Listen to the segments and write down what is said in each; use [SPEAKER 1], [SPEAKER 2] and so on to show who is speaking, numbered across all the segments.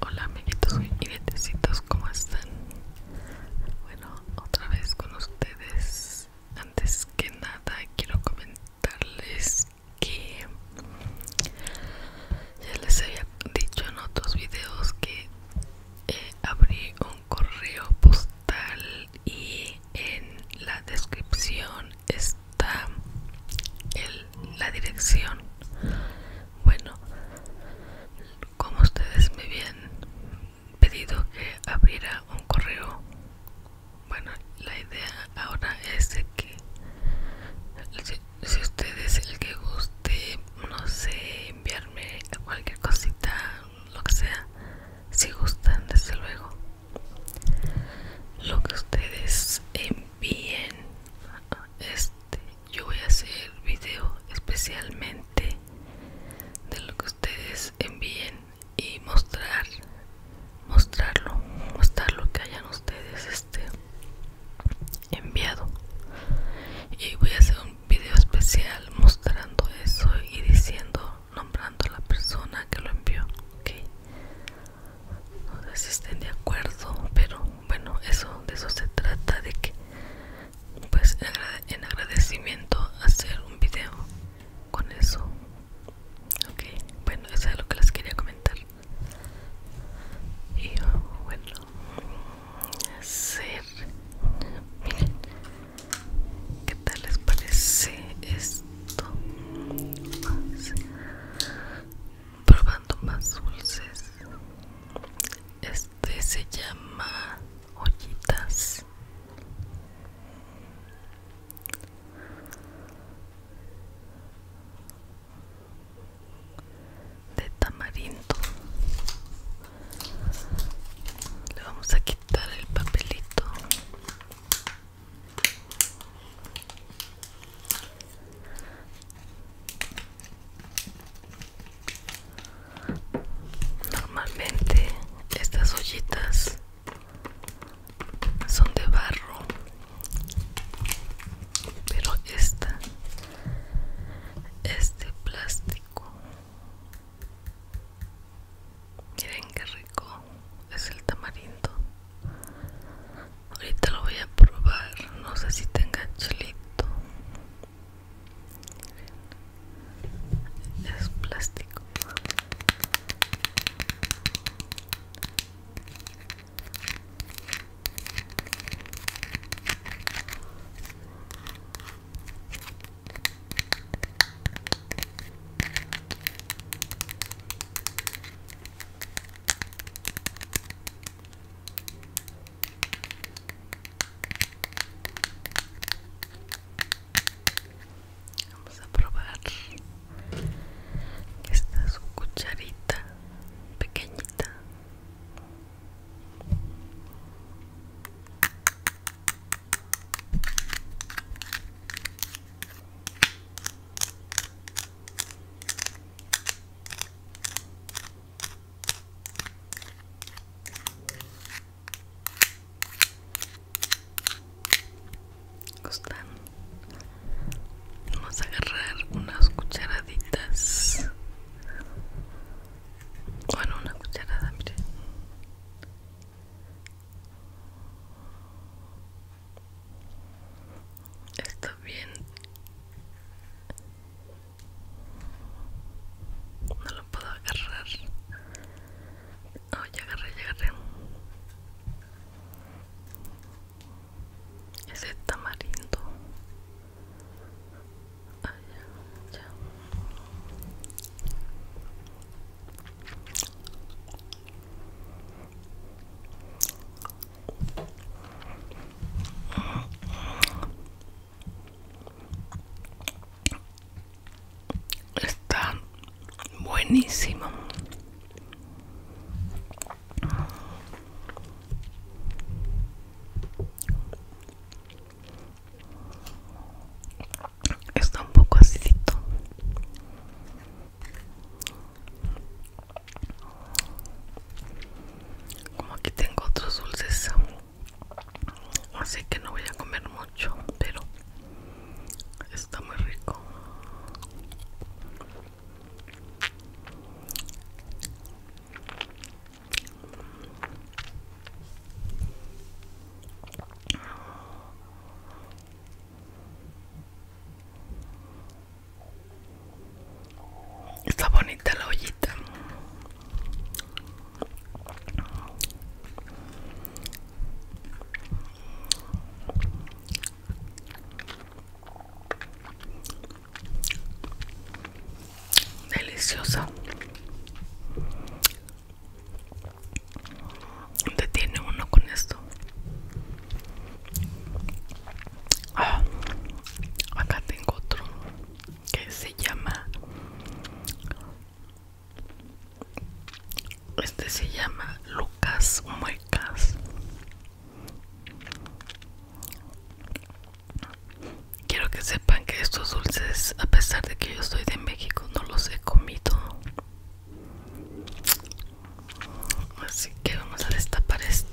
[SPEAKER 1] Hola amiguitos y ¿cómo están? Bueno, otra vez con ustedes. Antes que nada quiero comentarles que ya les había dicho en otros videos que eh, abrí un correo postal y en la descripción está la dirección bueno como ustedes me habían pedido que abriera un correo bueno la idea ahora es de que si, si ustedes el que guste no sé enviarme cualquier cosita lo que sea si gustan desde luego lo que ustedes envíen este yo voy a hacer video especialmente de lo que ustedes envíen y mostrar mostrarlo mostrar lo que hayan ustedes este enviado y voy a hacer un video especial mostrando eso y diciendo nombrando a la persona que lo envió ok no sé si estén de acuerdo pero bueno eso de eso se trata de que pues en agradecimiento hacer un video con eso ok bueno eso es lo que les quería comentar y oh, bueno hacer miren qué tal les parece esto? probando más dulces este se llama ollitas de tamarindo le vamos a quitar el papelito Normalmente estas ollitas son de barro, pero esta es de plástico. Miren qué rico es el tamarindo. Ahorita lo voy a probar. No sé si tenga chilito. Es plástico. Vamos a probar esta es cucharita pequeñita gustan vamos a agarrar unas cucharaditas bueno una cucharada mire Está bien. No lo puedo agarrar. Oh, ya agarré, ya agarré. Ese tamarindo. Ah, ya. Está buenísimo. Está un poco acidito. Como aquí tengo otros dulces, así que no voy a comer mucho, pero está muy rico. Está bonita la ollita. Deliciosa detiene uno con esto ah, acá tengo otro que se llama este se llama Lucas Muecas Quiero que sepan que estos dulces, a pesar de que yo soy de México, no los he comido. Así que vamos a destapar este.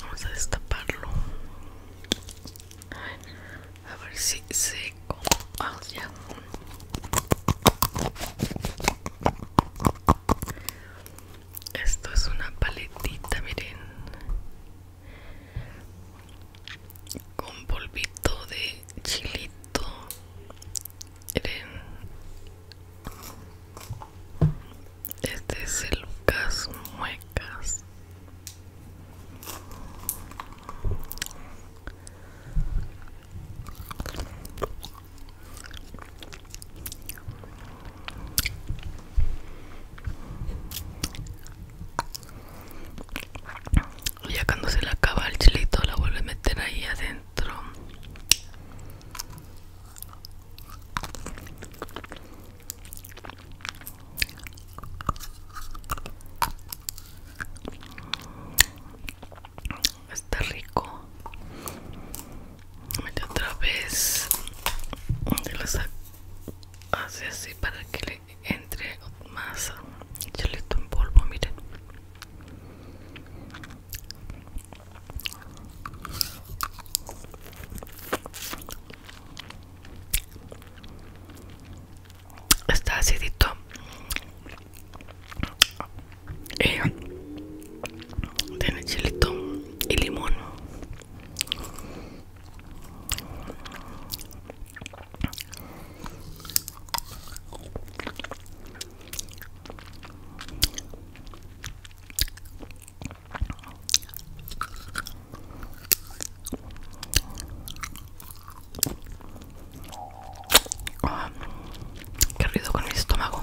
[SPEAKER 1] Vamos a destaparlo. A ver si se Esto es una paletita, miren. Con polvito de chilito. Miren, este es el Lucas Muecas. Ya cuando se le acaba el chilito la vuelve a meter ahí adentro está rico Mete otra vez hace así para que le entre más le en polvo miren Está acidito. y eh, tiene chilito y limón qué ruido con mi estómago.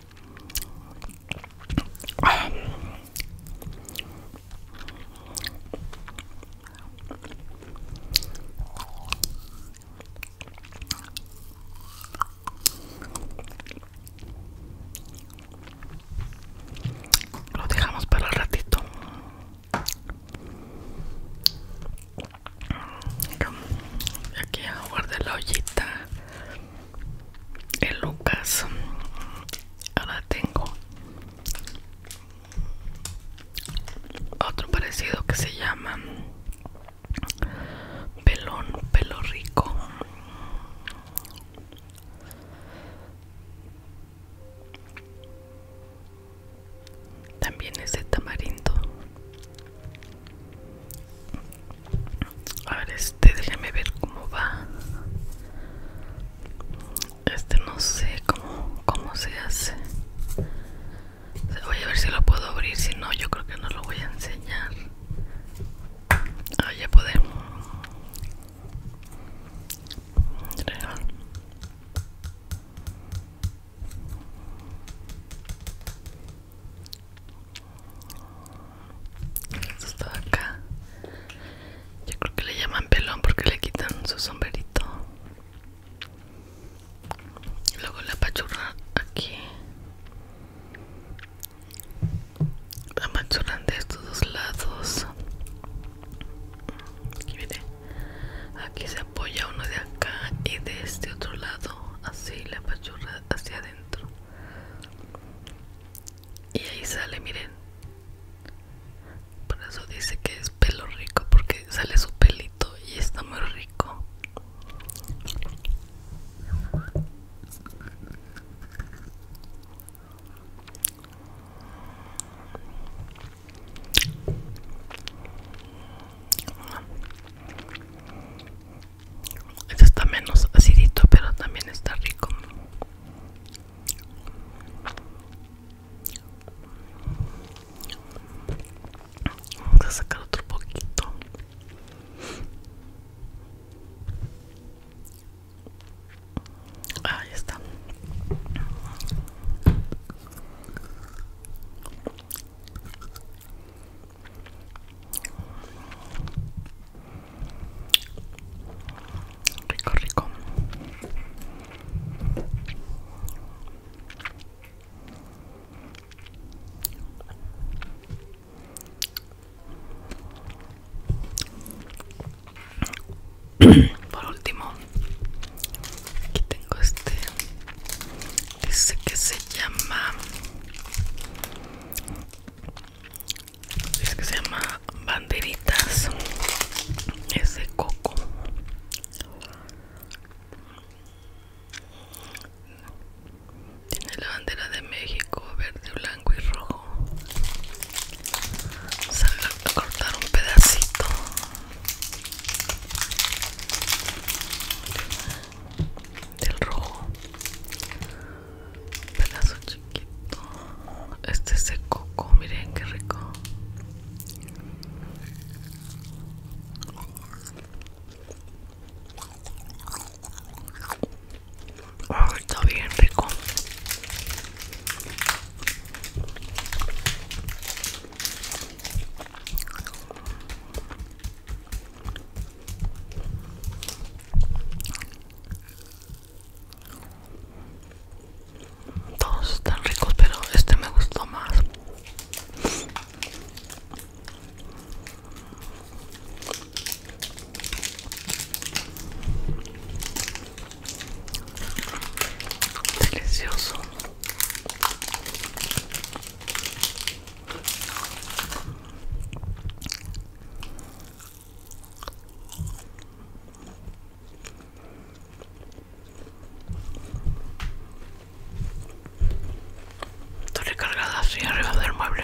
[SPEAKER 1] Lo dejamos para el ratito. Aquí guardar la ollita el Lucas ahora tengo otro parecido que se llama pelón pelo rico también es tamarindo a ver, este, déjame ver cómo va. Este no sé cómo, se hace. Voy a ver si lo puedo abrir, si no, yo creo que no lo voy a enseñar. ahí ya podemos. Esto está acá. Yo creo que le llaman pelón porque le quitan su sombrerito. Luego la pachurra aquí. La pachurran de estos dos lados. Aquí Aquí se apoya uno de acá y de este otro lado. Así la pachurra hacia adentro. Y ahí sale, miren. Por eso dice que es pelo rico, porque sale su pelito y está muy rico. Este está menos acidito, pero también está rico. Vamos a sacar otro poquito. Ahí está. Rico, rico. Por último, aquí tengo este Dice que se llama dice que se llama banderitas es de coco tiene la bandera de México verde blanco y rojo Vamos a cortar un pedacito del rojo pedazo chiquito este es coco miren qué rico está bien rico todos están ricos, pero este me gustó más. Delicioso. Torre recargada así arriba del mueble.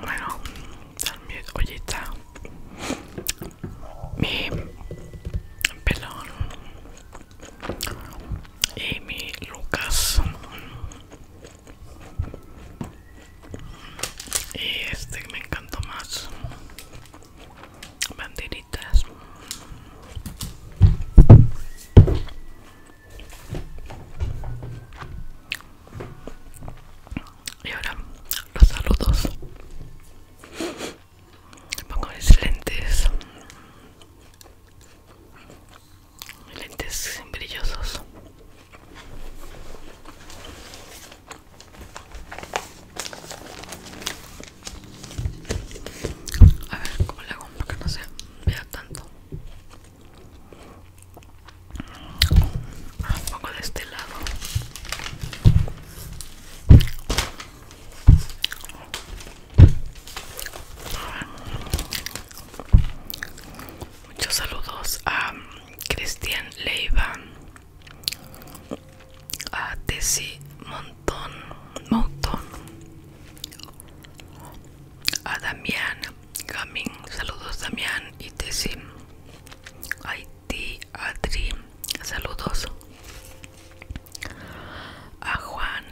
[SPEAKER 1] Bueno, también, oye, está mi pelón y mi Lucas y este me encantó más banderitas y ahora los saludos. pongo mis lentes. Lentes brillosos. A ver cómo le hago para que no se vea tanto. Ah, un poco de este lado. Muchos saludos a Cristian Leiva, a Tessie Montón, Montón, a Damián saludos Damián y A ti Adri, saludos a Juan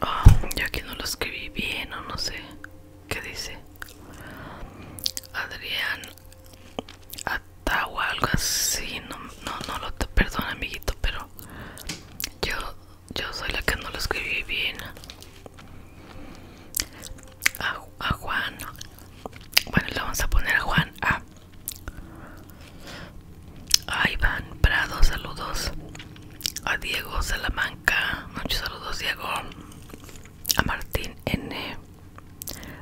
[SPEAKER 1] ah, ya que no lo escribí bien o no sé qué dice Adrián o algo así. No, no, no lo te perdona, amiguito, pero yo, yo soy la que no lo escribí bien. A, Juan. Bueno, le vamos a poner a Juan A. A Iván Prado, saludos. A Diego Salamanca, muchos saludos, Diego. A Martín N.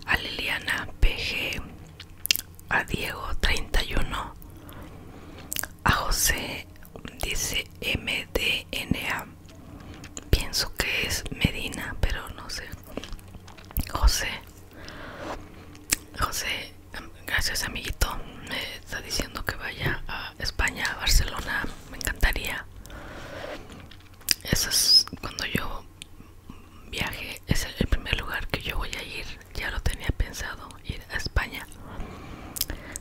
[SPEAKER 1] A Liliana PG a Diego 31, a José dice MDNA, pienso que es Medina, pero no sé. José, José, gracias amiguito, me está diciendo que vaya a España, a Barcelona, me encantaría. Eso es cuando yo viaje es el primer lugar que yo voy a ir ya lo tenía pensado ir a España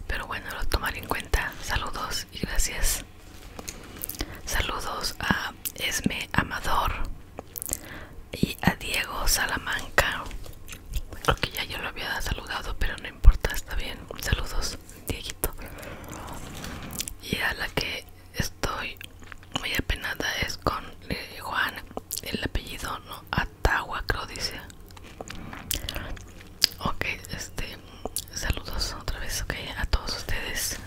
[SPEAKER 1] pero bueno lo tomaré en cuenta saludos y gracias saludos a Esme Amador y a Diego Salamanca creo que ya yo lo había saludado pero no importa está bien saludos Dieguito y a la que estoy muy apenada es con eh, Juan, el apellido, ¿no? Atagua, creo dice. Ok, este, saludos otra vez, ok, a todos ustedes.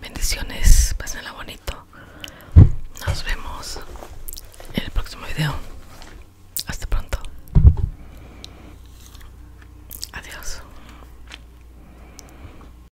[SPEAKER 1] Bendiciones, pásenla bonito. Nos vemos en el próximo video. Hasta pronto. Adiós.